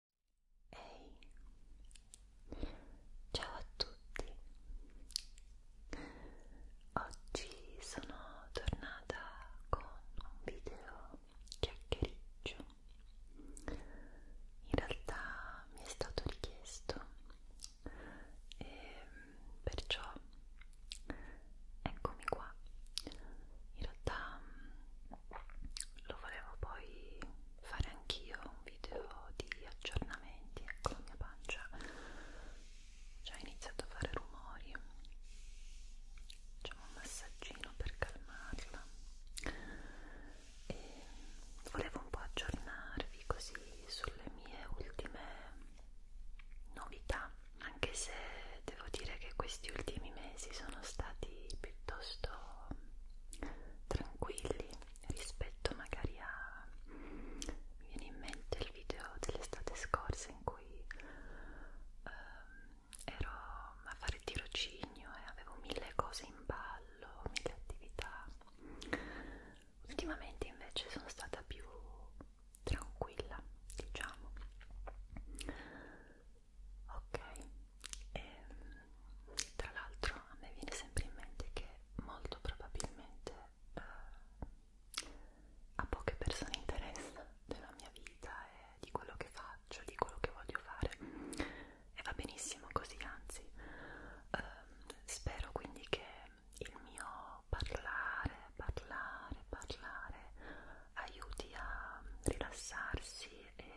Ehi, hey. ciao a tutti! Oggi sono tornata con un video chiacchiericcio. In realtà mi è stato richiesto e ehm, perciò eccomi qua. In realtà lo volevo poi fare anch'io un video di aggiornamenti ecco la mia pancia già ha iniziato a fare rumori facciamo un massaggino per calmarla e volevo un po' aggiornarvi così sulle mie ultime novità anche se devo dire che questi ultimi mesi sono stati piuttosto tranquilli rispetto magari a mi viene in mente il video dell'estate scorsa in cui ehm, ero a fare tirocinio e avevo mille cose in ballo, mille attività. Ultimamente invece sono stata più tranquilla, diciamo. Ok, e, ehm, tra l'altro a me viene sempre in mente che molto probabilmente eh, a poche persone interessa della mia vita e di quello che faccio, di quello che voglio fare e va benissimo così, anzi eh, spero quindi che il mio parlare, parlare, parlare aiuti a rilassarsi e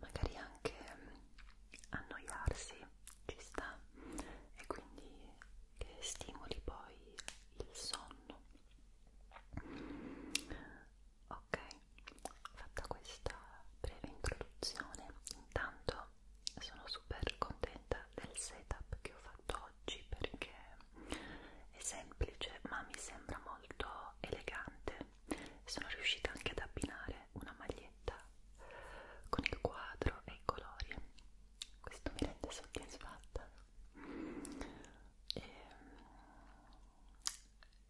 magari anche anche mm, annoiarsi, ci sta, e quindi che stimoli poi il sonno. Ok, fatta questa breve introduzione, intanto sono super contenta del setup che ho fatto oggi perché è semplice ma mi sembra molto elegante sono riuscita anche ad abbinare una maglietta con il quadro e i colori questo mi rende soddisfatta e,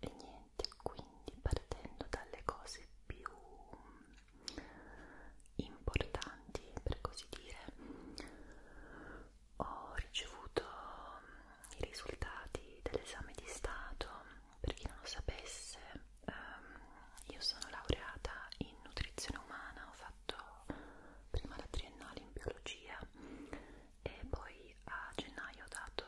e niente quindi partendo dalle cose più importanti per così dire ho ricevuto i risultati dell'esame di stato per chi non lo sapesse, um, io sono laureata in nutrizione umana, ho fatto prima la triennale in biologia e poi a gennaio ho dato,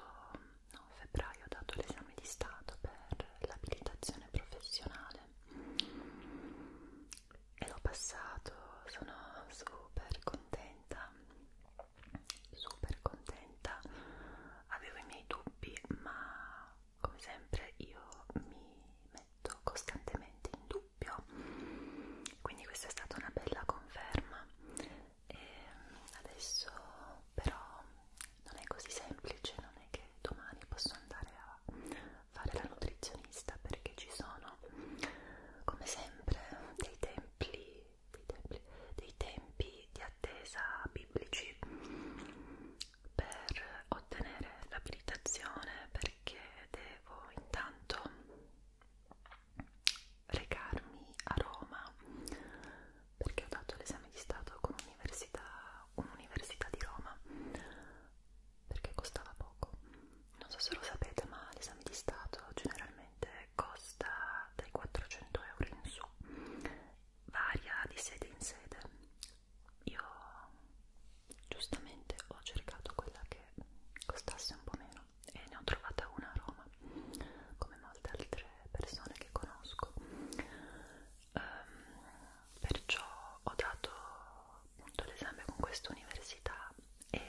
no, a febbraio ho dato l'esame di stato per l'abilitazione professionale e l'ho passato, sono super contenta super contenta avevo i miei dubbi ma come sempre io mi metto costantemente in dubbio quindi questa è stata una bella conferma e mm, adesso però non è così semplice non è che domani posso andare a fare la nutrizionista perché ci sono come sempre dei templi dei, dei tempi di attesa biblici per ottenere l'abilitazione perché devo intanto recarmi a Roma perché ho dato l'esame di stato con un'università un di Roma perché costava poco non so se lo sapete ma l'esame di stato generalmente costa dai 400 euro in su, varia di sede in sede. Io giustamente ho cercato quella che costasse un po' meno e ne ho trovata una a Roma, come molte altre persone che conosco. Um, perciò ho dato appunto l'esame con questa università e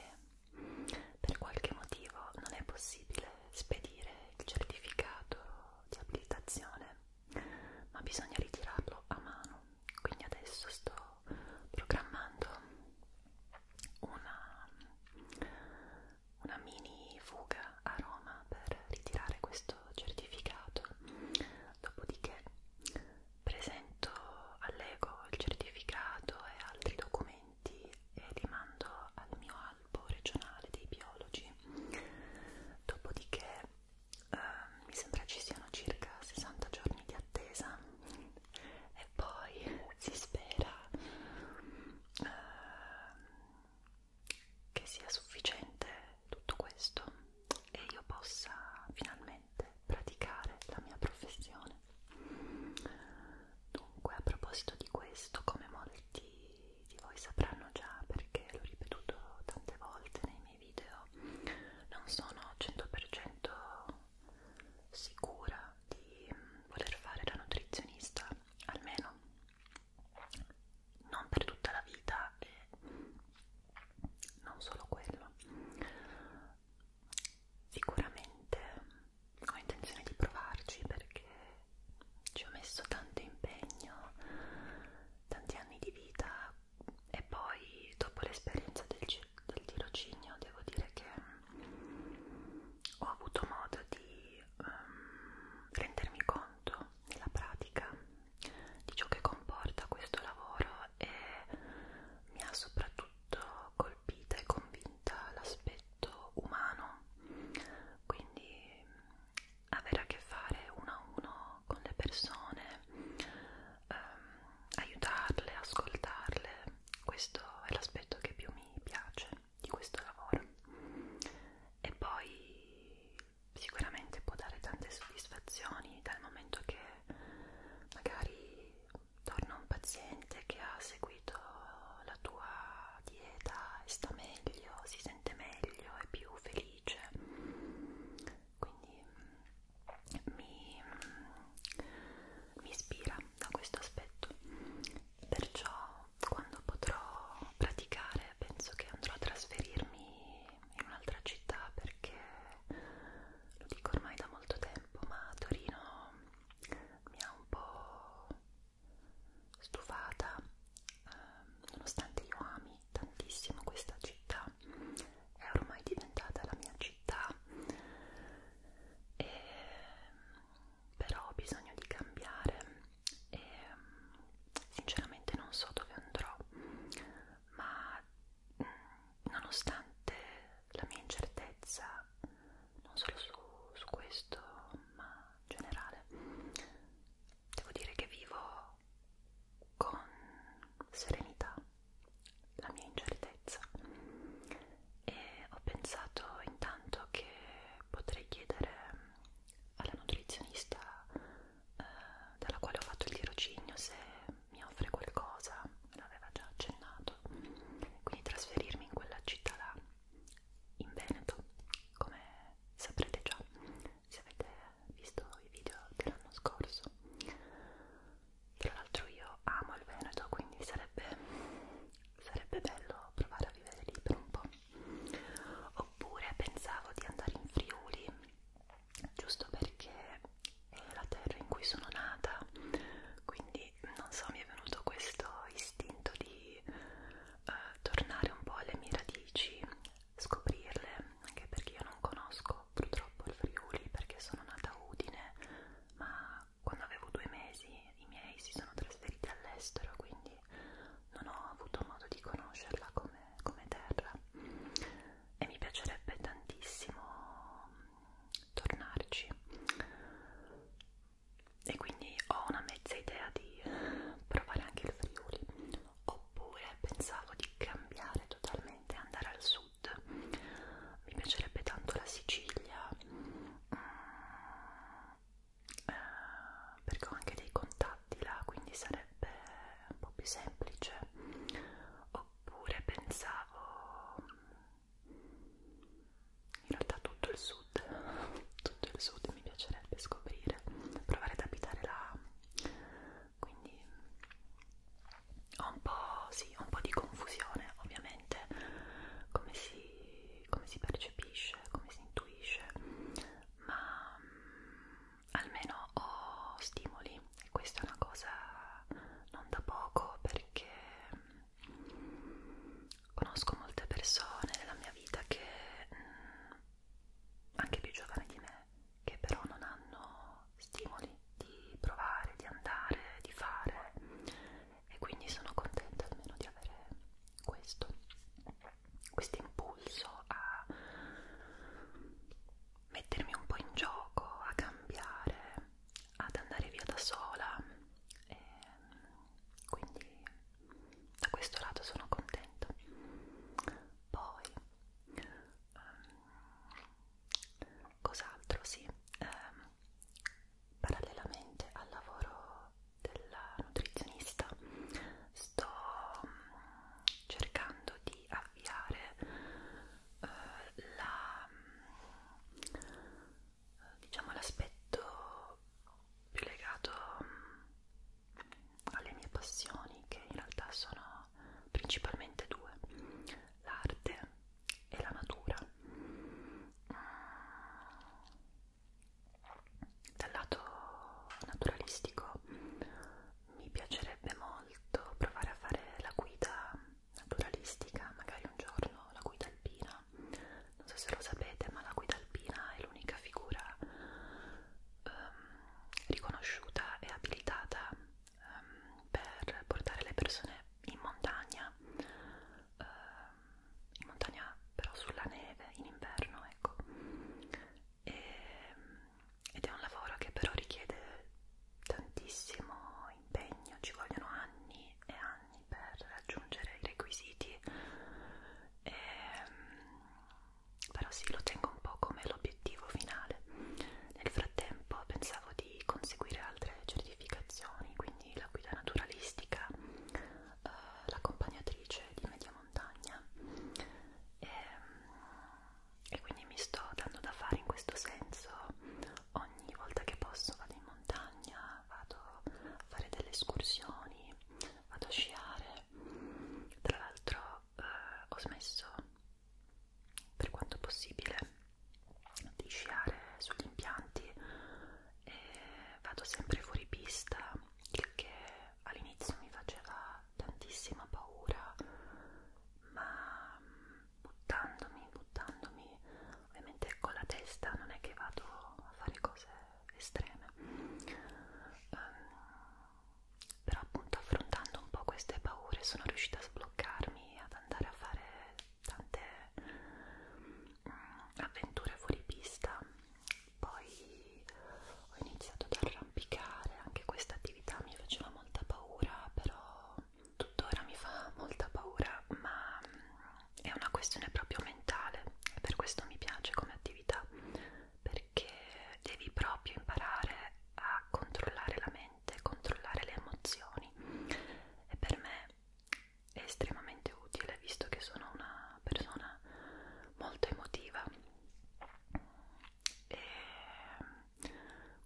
per qualche motivo non è possibile spedire il certificato di abilitazione ma bisogna ritirarlo a mano quindi adesso sto programmando una, una mini fuga a Roma per ritirare questo certificato dopodiché presento all'ego il certificato e altri documenti e li mando al mio albo regionale dei biologi, dopodiché eh, mi sembra ci siano circa 60 giorni di attesa e poi si spera eh, che sia sufficiente tutto questo e io possa finalmente praticare la mia professione. Dunque, a proposito di questo, come molti di voi sapranno già perché l'ho ripetuto tante volte nei miei video, non sono 100% sicura di mm, voler fare la nutrizionista, almeno non per tutta la vita e non solo quello. Sicuramente ho intenzione di provarci perché ci ho messo tanto impegno, tanti anni di vita e poi dopo l'esperienza del, del tirocinio devo dire che ho avuto modo di um, rendermi conto nella pratica di ciò che comporta questo lavoro e mi ha soprattutto colpita e convinta l'aspetto umano quindi avere a che fare uno a uno con le persone, ehm, aiutarle, ascoltarle, questo è l'aspetto che più mi piace di questo lavoro e poi sicuramente può dare tante soddisfazioni dal momento che magari torna un paziente che ha seguito la tua dieta e sta meglio, si sente meglio, è più felice. Quindi mm, mi, mm, mi ispira da questo aspetto. Perciò quando potrò praticare penso che andrò a trasferirmi in un'altra città perché lo dico ormai da molto tempo, ma Torino mi ha un po' stufata, eh, nonostante io ami tantissimo questa città, è ormai diventata la mia città, e, però ho bisogno di cambiare e sinceramente non so dove andrò, ma nonostante la mia incertezza, non solo su, su questo, ma in generale, devo dire che vivo con serenità la mia incertezza e ho pensato intanto che potrei chiedere alla nutrizionista eh, dalla quale ho fatto il tirocinio se mi offre qualcosa, me l'aveva già accennato, quindi trasferirmi in quella città là in Veneto, come saprete già se avete visto i video dell'anno scorso. Tra l'altro io amo il Veneto, quindi sarebbe, sarebbe bello provare a vivere lì per un po'. Oppure pensavo di andare in Friuli, giusto perché è la terra in cui sono nata, quindi non so, mi è venuto questo istinto di eh, tornare un po' alle mie radici, scoprirle, anche perché io non conosco purtroppo il Friuli perché sono nata a Udine, ma quando avevo due mesi i miei si sono trasferiti all'estero, quindi non ho avuto modo di conoscerla come, come terra e mi piacerebbe tantissimo tornarci e quindi ho una mezza idea di provare anche il Friuli oppure pensavo di cambiare totalmente andare al sud mi piacerebbe tanto la Sicilia mm, eh, perché ho anche dei contatti là quindi sarebbe un po' più semplice oppure pensavo mm, in realtà tutto il sud sud, tutto il sud mi piacerebbe scoprire, provare ad abitare là, quindi ho un po', sì, ho un po' di confusione ovviamente, come si, come si percepisce, come si intuisce, ma mm, almeno ho stimoli e questa è una cosa non da poco perché mm, conosco molte persone nella mia vita che mh, mm, anche più giovani di me, che però non hanno stimoli di provare, di andare, di fare e quindi sono contenta almeno di avere questo, questo impulso a mettermi un po' in gioco, a cambiare, ad andare via da sola e ehm, quindi da questo lato sono contenta poi um, cos'altro sì um, parallelamente al lavoro della nutrizionista sto um, cercando di avviare uh, la um, diciamo l'aspetto più legato mm, alle mie passioni, che in realtà sono principalmente due, l'arte e la natura. Mm. Dal lato naturalistico mi piacerebbe molto provare a fare la guida naturalistica, magari un giorno la guida alpina. Non so se lo sapete, ma la guida alpina è l'unica figura um, riconosciuta e abilitata um, per portare le persone in montagna, um, in montagna però sulla neve, in inverno, ecco. E, ed è un lavoro che però richiede tantissimo impegno, ci vogliono anni e anni per raggiungere i requisiti e, però sì, lo tengo un po' come l'obiettivo finale. Nel frattempo pensavo di conseguire altre certificazioni, quindi la guida naturalistica, eh, l'accompagnatrice di media montagna e, ehm, e quindi mi sto dando da fare in questo senso. Ogni volta che posso vado in montagna, vado a fare delle escursioni, vado a sciare tra l'altro eh, ho smesso per quanto possibile di sciare sugli impianti e vado sempre fuori pista il che all'inizio mi faceva tantissima paura ma mm, buttandomi buttandomi ovviamente con la testa non è che vado a fare cose estreme um, però appunto affrontando un po' queste paure sono riuscita a sbloccarmi ad andare a fare tante mm, avventure fuori pista poi ho iniziato ad arrampicare anche questa attività mi faceva molta paura però tuttora mi fa molta paura ma mm, è una questione proprio mentale e per questo mi piace come attività perché devi proprio imparare a controllare la mente, controllare le emozioni e per me è estremamente utile visto che sono una persona molto emotiva e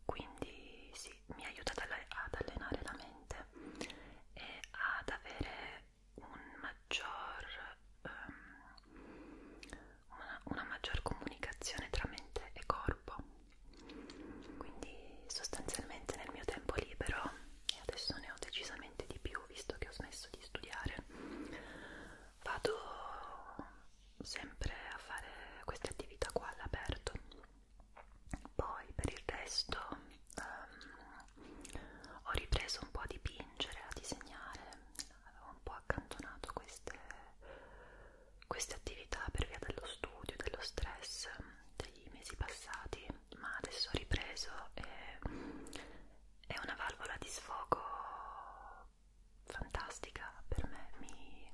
quindi sì, mi aiuta ad allenare la mente e ad avere un maggior, um, una, una maggior comunicazione tra mente e corpo quindi sostanzialmente nel mio tempo libero e adesso ne ho decisamente di più visto che ho smesso di studiare vado sempre a fare queste attività qua all'aperto poi per il resto um, ho ripreso un po' a dipingere, a disegnare avevo un po' accantonato queste, queste attività per via dello studio, dello stress degli mesi passati, ma adesso ho ripreso e è una valvola di sfogo fantastica per me, mi,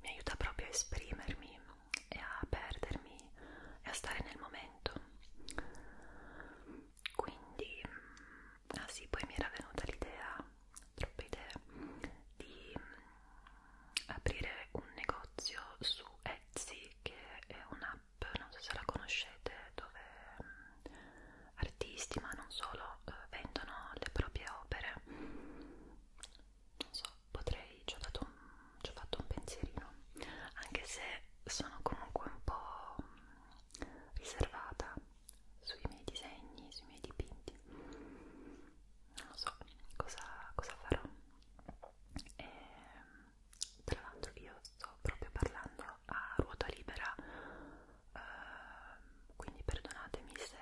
mi aiuta proprio a esprimermi e a perdermi e a stare nel momento quindi mm, ah sì poi mi era venuta l'idea troppe idee di mm, aprire un negozio su Etsy che è un'app non so se la conoscete dove mm, artisti ma non solo eh, vendono le proprie opere non so potrei ci ho fatto un, ci ho fatto un pensierino anche se sono comunque un po' riservata sui miei disegni, sui miei dipinti non lo so cosa, cosa farò e, tra l'altro io sto proprio parlando a ruota libera eh, quindi perdonatemi se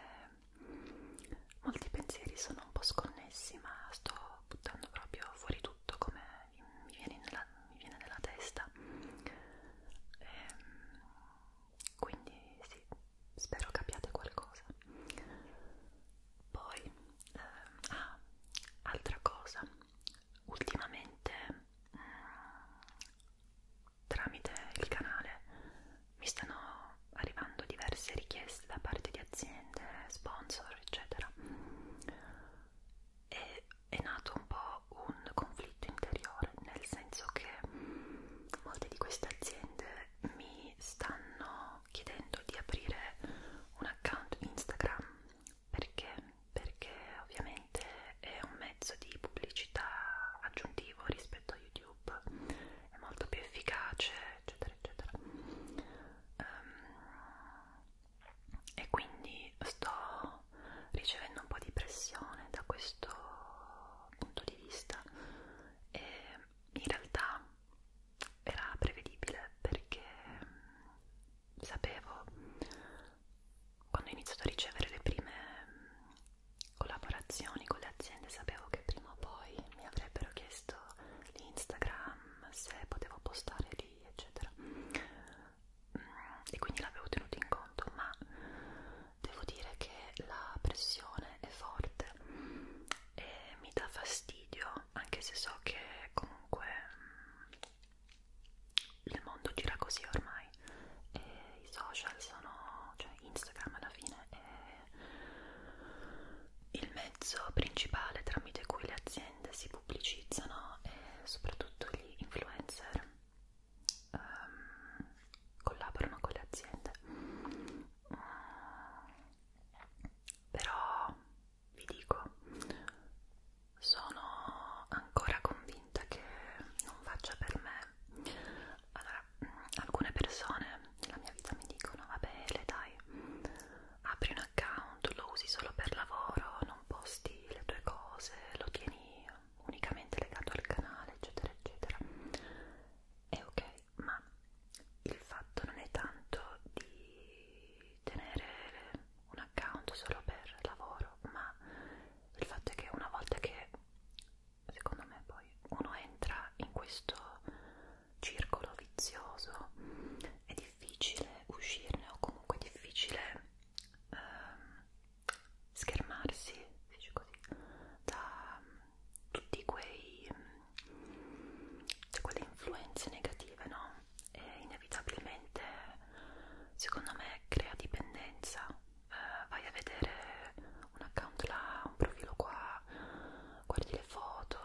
molti pensieri sono un po' sconnessi ma sto buttando proprio fuori tutto come mi viene in, mi viene nella testa e, ehm, quindi sì, spero capiate qualcosa poi eh, ah, altra cosa ultimamente mh, mm, tramite il canale mi stanno arrivando diverse richieste da parte di aziende, sponsor eccetera e è nato un po' un conflitto interiore, nel senso che molte di queste aziende mi stanno chiedendo di aprire un account Instagram perché? Perché ovviamente è un mezzo di pubblicità aggiuntivo rispetto a YouTube, è molto più efficace, eccetera, eccetera. Um, e quindi sto sto ricevendo un po' di pressione da questo punto di vista e in realtà era prevedibile perché mm, sapevo quando ho iniziato a ricevere le prime mm, collaborazioni con le aziende sapevo che prima o poi mi avrebbero chiesto l'Instagram se potevo postare lì eccetera e quindi l'avevo tenuto in conto ma devo dire che la pressione è forte e mi dà fastidio anche se so che comunque mm, il mondo gira così ormai e i social sono cioè Instagram alla fine è il mezzo principale tramite cui le aziende si pubblicizzano e soprattutto gli influencer um, collaborano con le aziende mm. però vi dico sono ancora convinta che non faccia per me allora mm, alcune persone nella mia vita mi dicono vabbè le dai apri un account lo usi solo per lavoro non posti le tue cose lo tieni unicamente legato al canale eccetera eccetera è ok ma il fatto non è tanto di tenere un account solo per lavoro ma il fatto è che una volta che secondo me poi uno entra in questo circolo vizioso è difficile uscirne o comunque è difficile ehm, schermarsi così, da mm, tutti quei cioè quelle influenze negative, no? E inevitabilmente secondo me crea dipendenza. Eh, vai a vedere un account là, un profilo qua, guardi le foto,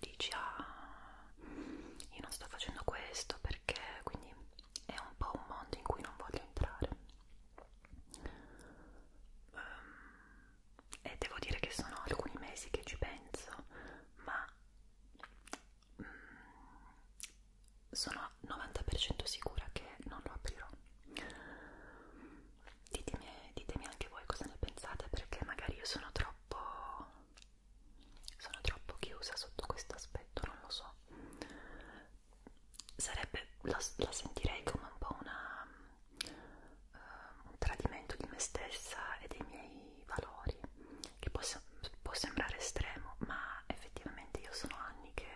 dici ah io non sto facendo questo perché quindi è un po' un mondo in cui non voglio entrare Um, e devo dire che sono alcuni mesi che ci penso, ma um, sono 90% sicura che non lo aprirò. Ditemi, ditemi anche voi cosa ne pensate, perché magari io sono troppo, sono troppo chiusa sotto questo aspetto, non lo so sarebbe, la, la sentirei come un po' una, uh, un tradimento di me stessa e dei miei valori, che può, può sembrare estremo, ma effettivamente io sono anni che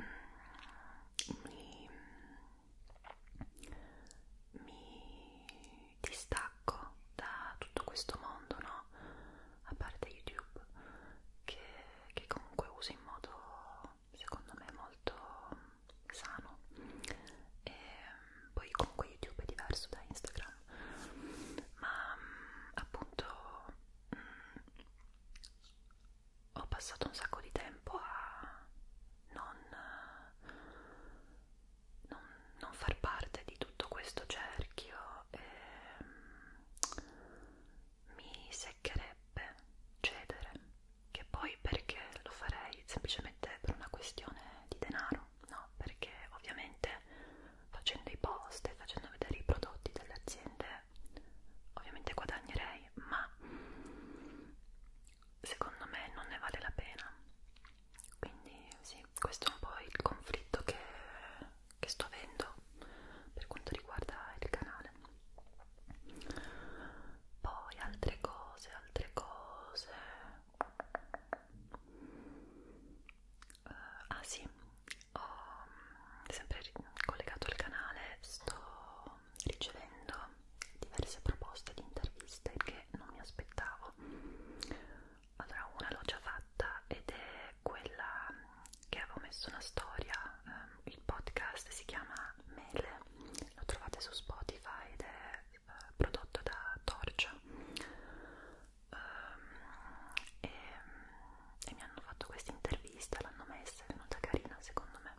mm, mi, mi distacco da tutto questo mondo, no? a parte YouTube che, che comunque uso in modo secondo me molto sano e poi comunque YouTube è diverso da Instagram ma appunto mh, mm, ho passato un sacco di tempo a non, non, non far parte di tutto questo cerchio e, mi seccherebbe cedere, che poi perché lo farei semplicemente per una questione di denaro, no? Perché ovviamente facendo i post e facendo vedere i prodotti delle aziende ovviamente guadagnerei, ma secondo me non ne vale la pena. Quindi sì, questo è un po' il conflitto che che sto avendo per quanto riguarda il canale poi altre cose altre cose uh, ah sì ho mm, sempre collegato al canale sto ricevendo diverse proposte di interviste che non mi aspettavo allora una l'ho già fatta ed è quella che avevo messo una storia, um, il podcast si chiama Mele, lo trovate su Spotify ed è uh, prodotto da Torcia um, e, e mi hanno fatto questa intervista, l'hanno messa, è venuta carina secondo me.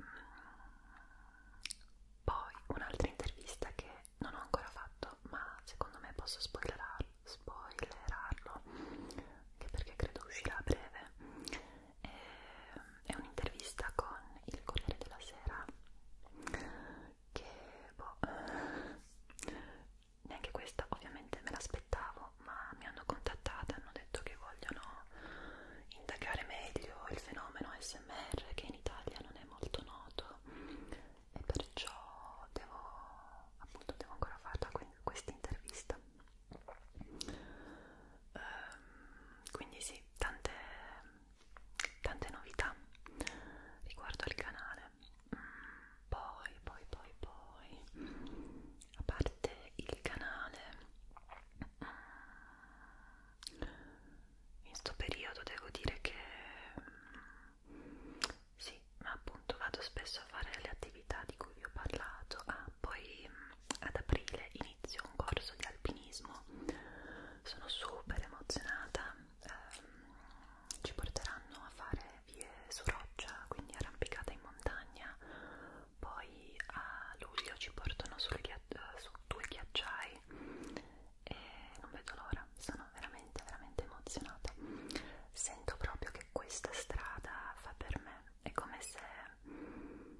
Mm. Poi un'altra intervista che non ho ancora fatto, ma secondo me posso spoilerarla spoilerarlo anche perché credo uscirà a breve eh, è un'intervista con il Corriere della Sera che boh eh, neanche questa ovviamente me l'aspettavo ma mi hanno contattata hanno detto che vogliono indagare meglio il fenomeno SMR che in Italia non è molto noto e perciò devo appunto devo ancora farla questa intervista ehm, quindi sì tante, tante novità riguardo al canale mm, poi poi poi poi a parte il canale mm, in questo periodo devo dire che mm, sì, ma appunto vado spesso a fare le attività di cui vi ho parlato. Ah, poi mm, ad aprile inizio un corso di alpinismo, sono super emozionata. Eh, ci porteranno a fare vie su roccia, quindi arrampicata in montagna. Poi a luglio ci portano sul ghiaccio, su due ghiacciai e non vedo l'ora, sono veramente veramente veramente emozionata sento proprio che questa strada fa per me è come se mh, mm,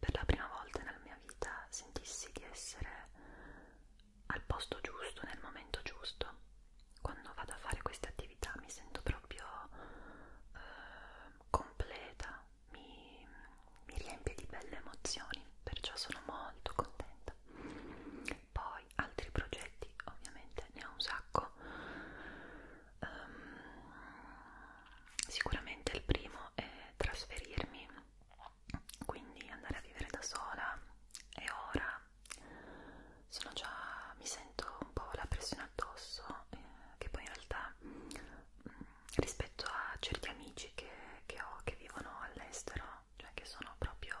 per la prima volta nella mia vita sentissi di essere al posto giusto nel momento giusto quando vado a fare queste attività mi sento proprio eh, completa mi, mi riempie di belle emozioni perciò sono molto contenta poi altri progetti ovviamente ne ho un sacco um, sicuramente il primo è trasferirmi quindi andare a vivere da sola e ora sono già mi sento un po' la pressione addosso eh, che poi in realtà mh, mm, rispetto a certi amici che, che ho che vivono all'estero cioè che sono proprio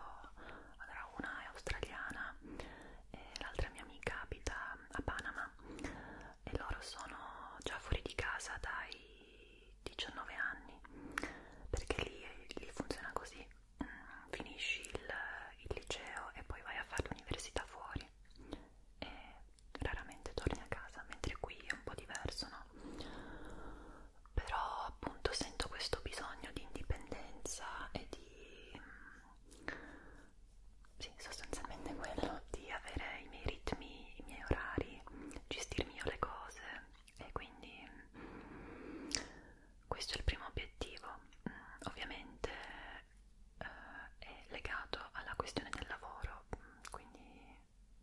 allora una è australiana e l'altra mia amica abita a Panama e loro sono già fuori di casa dai 19 anni perché lì, lì funziona così mm, finisci il, il liceo e poi vai a fare l'università fuori e raramente torni a casa mentre qui è un po' diverso no? però appunto sento questo bisogno di indipendenza e di mm, sì, sostanzialmente quello di avere i miei ritmi, i miei orari, gestirmi io le cose e quindi mm, questo è il primo obiettivo. Mm, ovviamente eh, è legato alla questione del lavoro, mm, quindi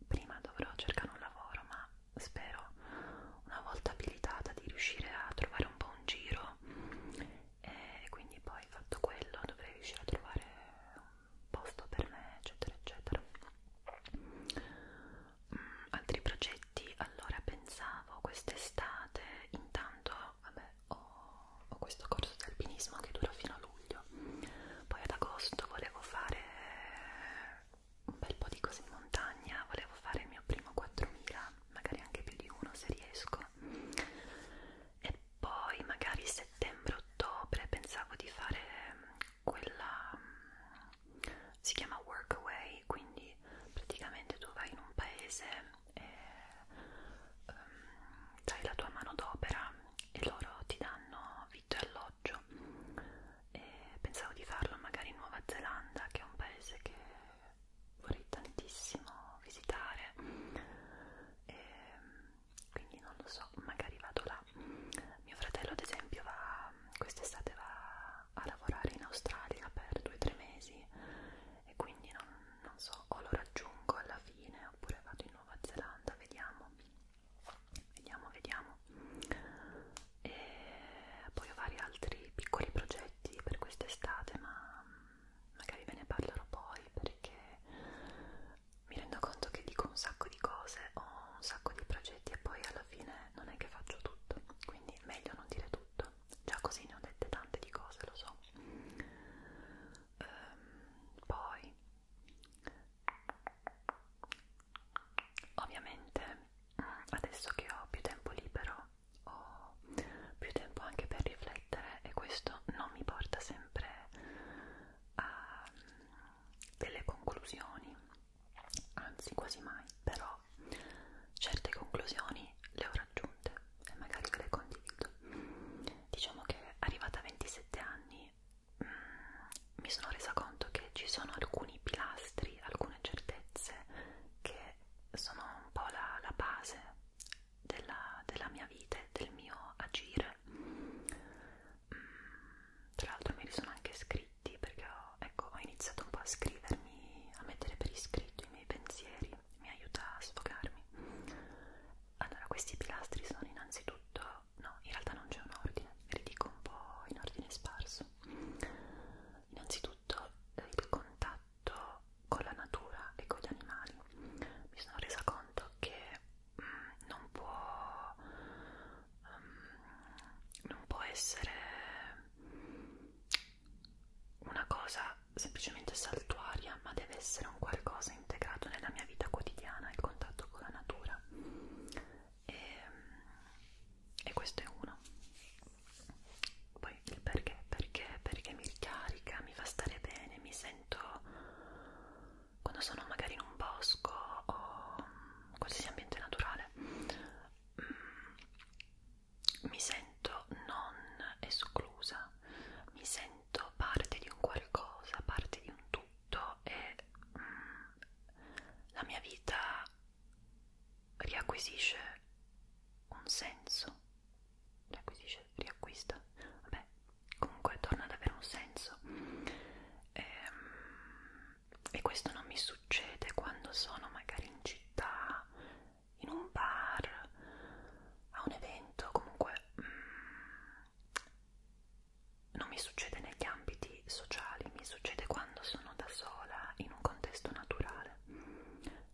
prima dovrò cercare un lavoro, ma spero una volta abilitata di riuscire a trovare un po' un giro no e quindi poi fatto quello dovrei riuscire a trovare un posto per me eccetera eccetera mm, altri progetti allora pensavo quest'estate intanto vabbè ho, ho questo corso di alpinismo che dura fino a luglio poi ad agosto volevo fare un bel po' di cose in montagna volevo fare il mio primo 4000 magari anche più di uno se riesco e poi magari settembre-ottobre pensavo di fare mm, quella mm, si chiama workaway quindi praticamente tu vai in un paese e um, dai la tua mano d'opera e loro ti danno vitto e alloggio e pensavo di farlo magari in Nuova Zelanda che è un paese che vorrei tantissimo visitare e ehm, quindi non lo so, magari vado là. Mio fratello ad esempio va quest'estate va a lavorare in Australia per due o tre mesi e quindi non, non so, o lo raggiungo alla fine oppure vado in Nuova Zelanda, vediamo, vediamo, vediamo. E poi ho vari altri piccoli progetti per quest'estate ma magari ve ne parlerò poi perché mi rendo conto che dico un sacco di cose, ho un sacco di progetti e poi alla fine non è che faccio tutto, quindi meglio non dire tutto, già così ne ho dette tante di cose, lo so. Ehm, poi, ovviamente, adesso che ho più tempo libero, ho più tempo anche per riflettere e questo non mi porta sempre a mm, delle conclusioni, anzi quasi mai, però certe conclusioni le ho raggiunte e magari ve le condivido. Diciamo che arrivata a 27 anni mh, mm, mi sono resa conto che ci sono alcuni pilastri, alcune certezze che sono un po' la, la base della, della mia vita e del mio agire. Mm, tra l'altro me li sono anche scritti perché ho, ecco, ho iniziato un po' a scrivermi, a mettere per iscritto i miei pensieri, mi aiuta a sfogarmi. Allora, questi pilastri sono innanzitutto, no, in realtà non c'è un ordine, ve li dico un po' in ordine sparso. Innanzitutto soprattutto il contatto con la natura e con gli animali. Mi sono resa conto che mm, non, può, um, non può essere una cosa semplicemente saltuaria, ma deve essere un qualcosa integrato nella mia vita quotidiana, il contatto con la natura. E, mm, e questo è uno poi perché? Perché? Perché mi ricarica, mi fa stare bene, mi sento quando sono magari in un bosco o qualsiasi ambiente naturale mm, mi sento non esclusa, mi sento parte di un qualcosa, parte di un tutto e mm, la mia vita riacquisisce un senso riacquisisce, riacquista, vabbè, comunque torna ad avere un senso. E, ehm, e questo non mi succede quando sono magari in città, in un bar, a un evento, comunque mm, non mi succede negli ambiti sociali, mi succede quando sono da sola in un contesto naturale.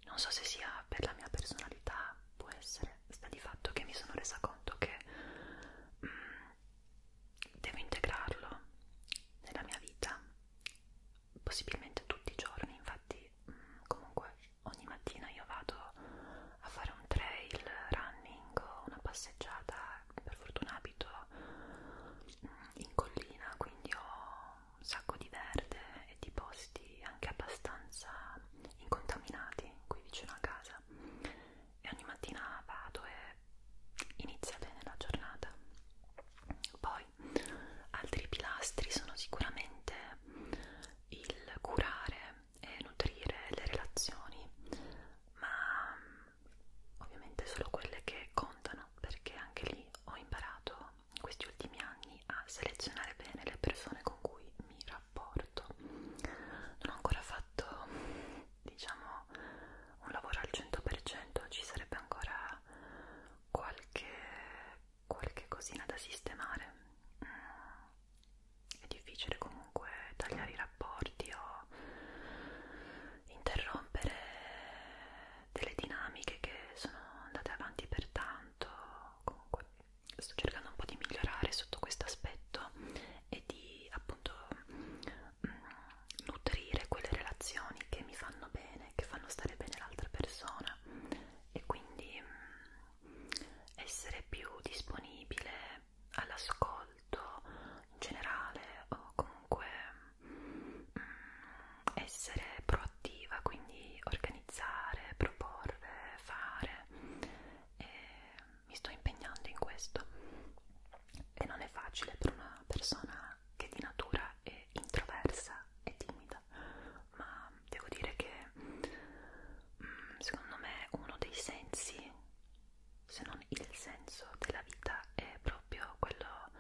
Non so se sia ma per la mia personalità può essere, sta di fatto che mi sono resa conto che mm, devo integrarlo nella mia vita, possibilmente tutti i giorni, infatti mm, comunque ogni mattina io vado a fare un trail running o una passeggiata, per fortuna abito mm, in collina, quindi ho un sacco di verde e di posti anche abbastanza incontaminati qui vicino a casa e ogni mattina vado e inizia bene la giornata poi altri pilastri sono sicuramente il curare e nutrire le relazioni ma mm, ovviamente solo quelle che contano perché anche lì ho imparato questi ultimi anni a selezionare bene le persone con cui mi rapporto non ho ancora fatto diciamo un lavoro al 100% ci sarebbe ancora qualche, qualche cosina da sistemare mm, è difficile comunque tagliare i rapporti o interrompere delle dinamiche che sono andate avanti per tanto comunque sto cercando un po' di migliorare sotto questo aspetto e di appunto mh, mm, nutrire quelle relazioni che mi fanno bene, che fanno stare bene l'altra persona e quindi mh, mm, essere più disponibile all'ascolto in generale o comunque mh, mm, essere proattiva, quindi organizzare organizzare, proporre, fare e mi sto impegnando in questo e non è facile per una persona che di natura è introversa e timida ma devo dire che mm, secondo me uno dei sensi se non il senso della vita è proprio quello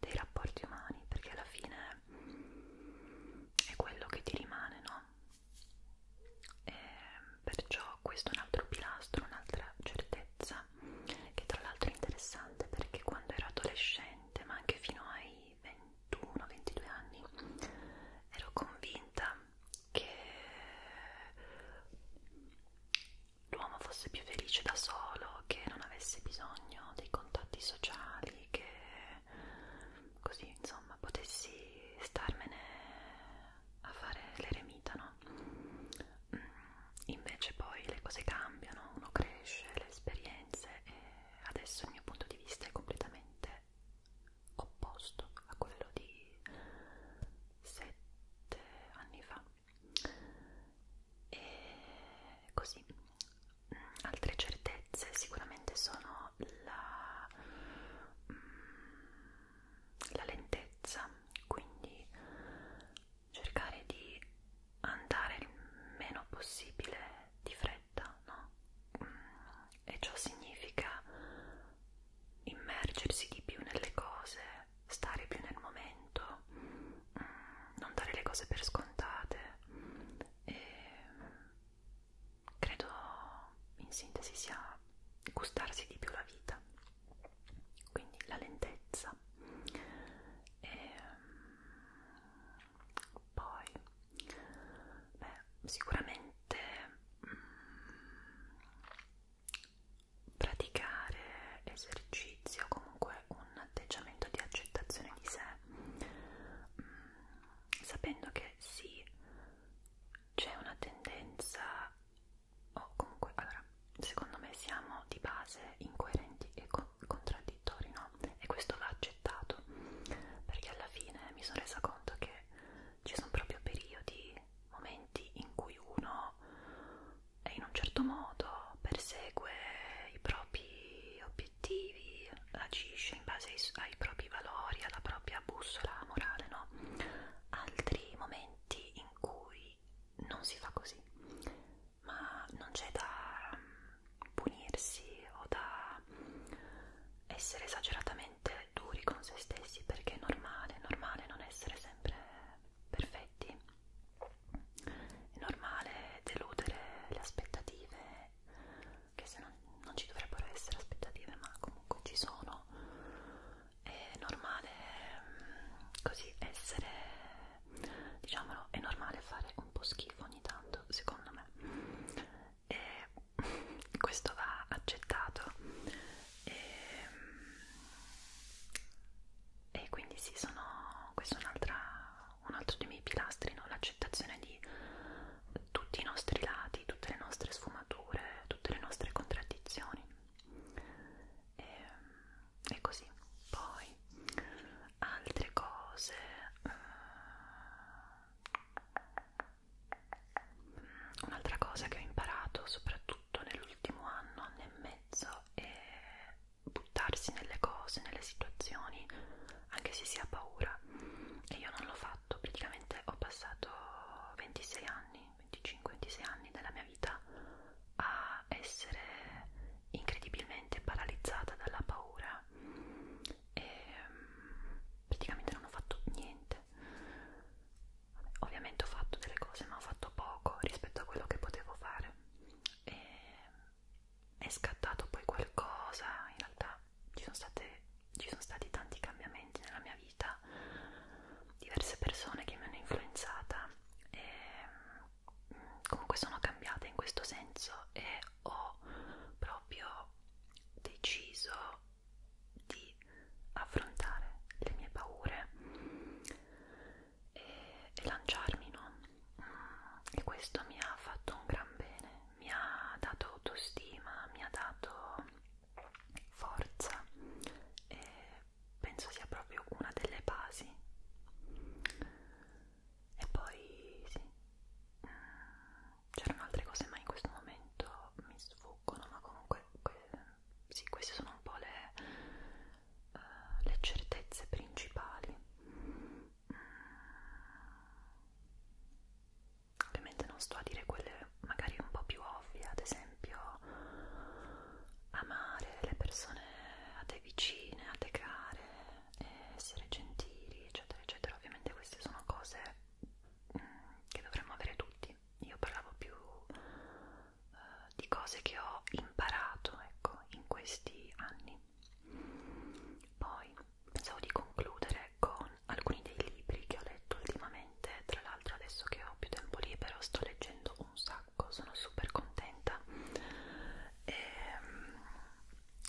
dei rapporti umani perché alla fine è quello che ti rimane, no? E ehm, perciò questo è un altro pilastro, un'altra certezza che tra l'altro è interessante perché quando ero adolescente, ma anche fino ai 21-22 anni, ero convinta che l'uomo fosse più felice da solo, che non avesse bisogno dei contatti sociali, che così insomma potessi starmene a fare l'eremita, no? Mm, invece poi le cose cambiano, uno cresce, le esperienze e adesso il mio punto di vista è completamente opposto a quello di sette anni fa e così altre certezze sicuramente sono la, mm, la lentezza, quindi cercare di andare il meno possibile di fretta, no? Mm, e ciò significa immergersi di più nelle cose, stare più nel momento, mm, non dare le cose per scontate e credo in sintesi sia gustarsi di più la vita quindi la lentezza e ehm, poi beh, sicuramente mm, praticare esercizio comunque un atteggiamento di accettazione di sé mm, sapendo che sì c'è una tendenza o oh, comunque allora secondo me siamo di base incoerenti e co contraddittori no e questo va accettato perché alla fine mi sono resa conto che ci sono proprio periodi momenti in cui uno è in un certo modo persegue i propri obiettivi obiettivi, agisce in base ai, ai propri valori, alla propria bussola morale, no? Altri momenti in cui non si fa così, ma non c'è da mm, punirsi o da essere esageratamente duri con se stessi perché è normale, è normale non essere sempre perfetti, è normale deludere le aspettative che se non, non ci dovrebbero essere aspettative ma comunque ci sono è normale mm, così essere diciamolo è normale fare un po' schifo ogni tanto secondo me e questo va accettato e, mm, e quindi sì sono questo è un, un altro dei miei pilastri no? la l'accettazione di tutti i nostri lati, tutte le nostre sfumature, tutte le nostre contraddizioni. E, ehm, e così. Poi altre cose. Eh, un'altra cosa che ho imparato soprattutto nell'ultimo anno, anno e mezzo, è buttarsi nelle cose, nelle situazioni, anche se si ha paura. E io non lo faccio fatto praticamente ho passato 26 anni 25-26 anni della mia vita a essere incredibilmente paralizzata dalla paura e mm, praticamente non ho fatto niente ovviamente ho fatto delle cose ma ho fatto poco rispetto a quello che potevo fare e mm, è scattato poi qualcosa in realtà mia ci sono, state, ci sono stati tanti cambiamenti nella mia vita, diverse persone che mi hanno influenzata e mm, comunque sono cambiata in questo senso e ho proprio deciso di affrontare le mie paure e, e lanciarmi, no? E questo mi ha fatto un gran bene mi ha dato autostima, mi ha dato forza e penso sia proprio una delle basi. E poi sì, mm, c'erano altre cose ma in questo momento mi sfuggono, ma comunque que sì, queste sono un po' le, uh, le certezze principali ovviamente non sto a dire quelle magari un po' più ovvie ad esempio amare le persone a te vicine, a te care essere gentili eccetera eccetera ovviamente queste sono cose mh, mm, che dovremmo avere tutti io parlavo più uh, di cose che ho imparato ecco in questi anni poi pensavo di concludere con alcuni dei libri che ho letto ultimamente, tra l'altro adesso che ho più tempo libero sto leggendo un sacco, sono super contenta e ehm,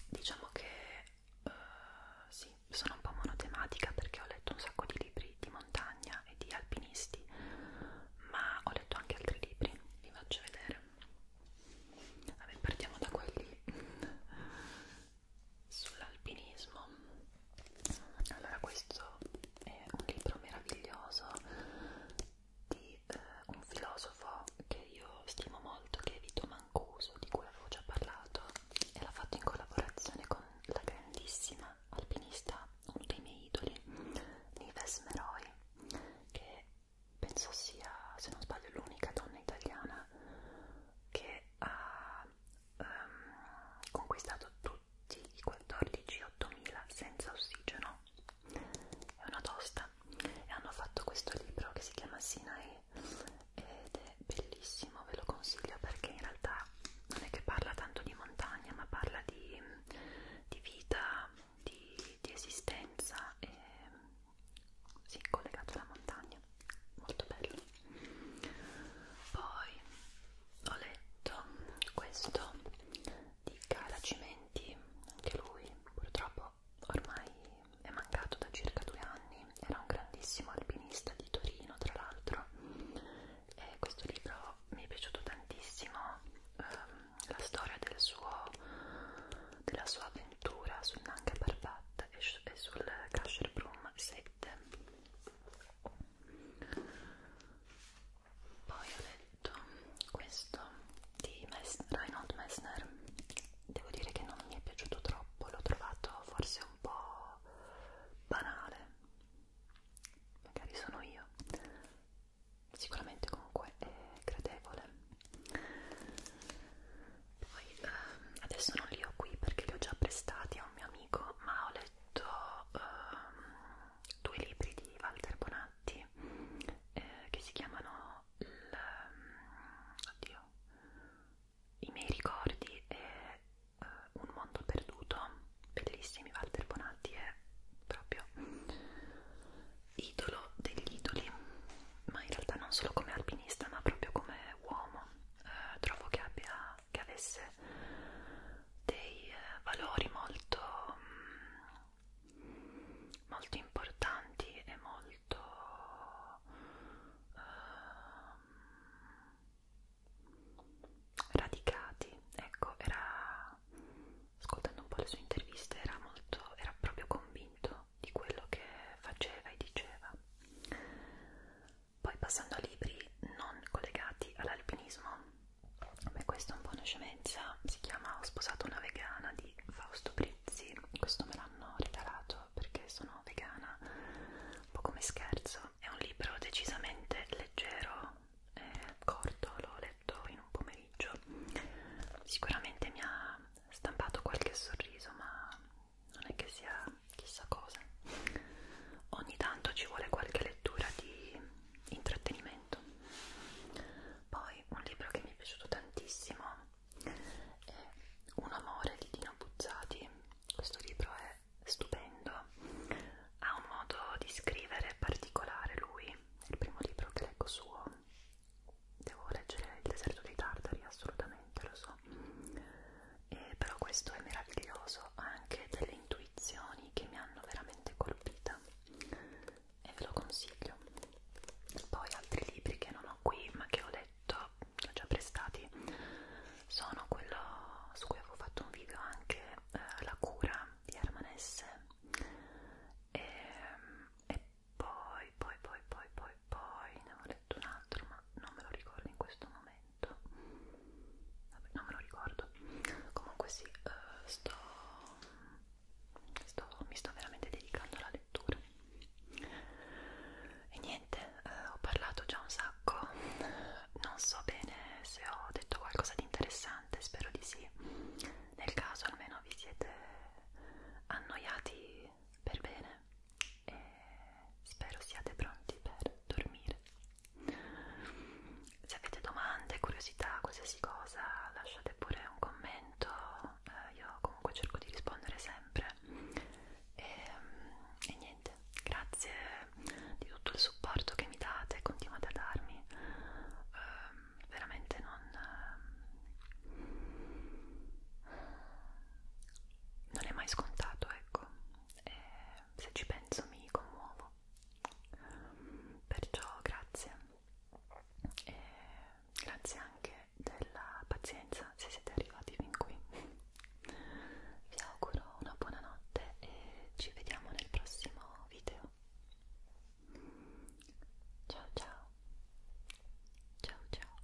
diciamo che uh, sì, sono un po' monotematica perché ho letto un sacco di libri di montagna e di alpinisti, ma ho letto anche altri libri, vi faccio vedere. Vabbè, partiamo da quelli sull'alpinismo allora questo è un libro meraviglioso di eh, un filosofo che io stimo molto che è Vito Mancuso di cui avevo già parlato e l'ha fatto in collaborazione con la grandissima alpinista uno dei miei idoli Nives Meroy che penso sia se non sbaglio l'unica donna italiana che ha ehm, conquistato tutti i 14.000 senza ossigeno è una tosta e hanno fatto questo libro che si chiama Sinai ed è bellissimo, ve lo consiglio perché in realtà non è che parla tanto di montagna ma parla di, di vita, di, di esistenza e sì, collegato alla montagna, molto bello. Poi ho letto questo di Cara Cimenti, anche lui purtroppo ormai è mancato da circa due anni, era un grandissimo alpinista di Torino tra l'altro e questo libro mi è piaciuto tantissimo, ehm, la storia del suo, della sua avventura Ventura sul Nanca Parbat e, e sul Crusher Broom 7 poi ho letto questo di Mess Reinhold Messner devo dire che non mi è piaciuto troppo l'ho trovato forse un po' banale magari sono io sicuramente comunque è gradevole poi ehm, adesso non li ho qui perché li ho già prestati a un mio amico ma ho letto ehm, due libri di Walter Bonatti eh, che si chiamano il, ehm, oddio, i miei ricordi e eh, un mondo perduto bellissimi Walter Bonatti è proprio idolo degli idoli ma in realtà non solo come alpinista ma proprio come uomo eh, trovo che abbia che avesse dei eh, valori molto mm, molto importanti e molto eh, radicati ecco era ascoltando un po' le sue interviste era molto era proprio convinto di quello che faceva e diceva poi passando a libri non collegati all'alpinismo beh questo è un po' una scemenza si chiama Ho sposato una vegana di Fausto Brizzi questo me l'hanno regalato perché sono vegana un po' come scherzo è un libro decisamente leggero e eh, corto l'ho letto in un pomeriggio sicuramente mi ha stampato qualche sorriso ma non è che sia chissà cosa ogni tanto ci vuole qualche lettura di intrattenimento poi un libro che mi è piaciuto tantissimo è Un amore di Dino Buzzati questo libro è stupendo ha un modo di scrivere particolare lui è il primo libro che leggo suo devo leggere Il deserto dei tartari assolutamente lo so posto e però questo è meraviglioso ha anche delle intuizioni che mi hanno veramente colpita e ve lo consiglio poi altri libri che non ho qui ma che ho letto ho già prestati sono quello su cui avevo fatto un video anche eh, la cura di Hermanesse e, ehm, e poi poi poi poi poi poi ne ho letto un altro ma non me lo ricordo in questo momento Vabbè, non me lo ricordo. Comunque sì, uh, sto, sto, mi sto veramente dedicando alla lettura. E niente, uh, ho parlato già un sacco. Non so bene se ho detto qualcosa di interessante, spero di sì. Nel caso almeno vi siete annoiati per bene e spero siate pronti per dormire. Se avete domande, curiosità, qualsiasi cosa, lasciate pure un commento, eh, io comunque cerco di rispondere sempre. E, e niente, grazie di tutto il supporto che mi date, continuate a darmi, eh, veramente non... Eh, non è mai scontato, ecco, e eh, se ci penso mi commuovo perciò grazie e eh, grazie anche della pazienza se siete arrivati fin qui vi auguro una buona notte e ci vediamo nel prossimo video ciao ciao ciao ciao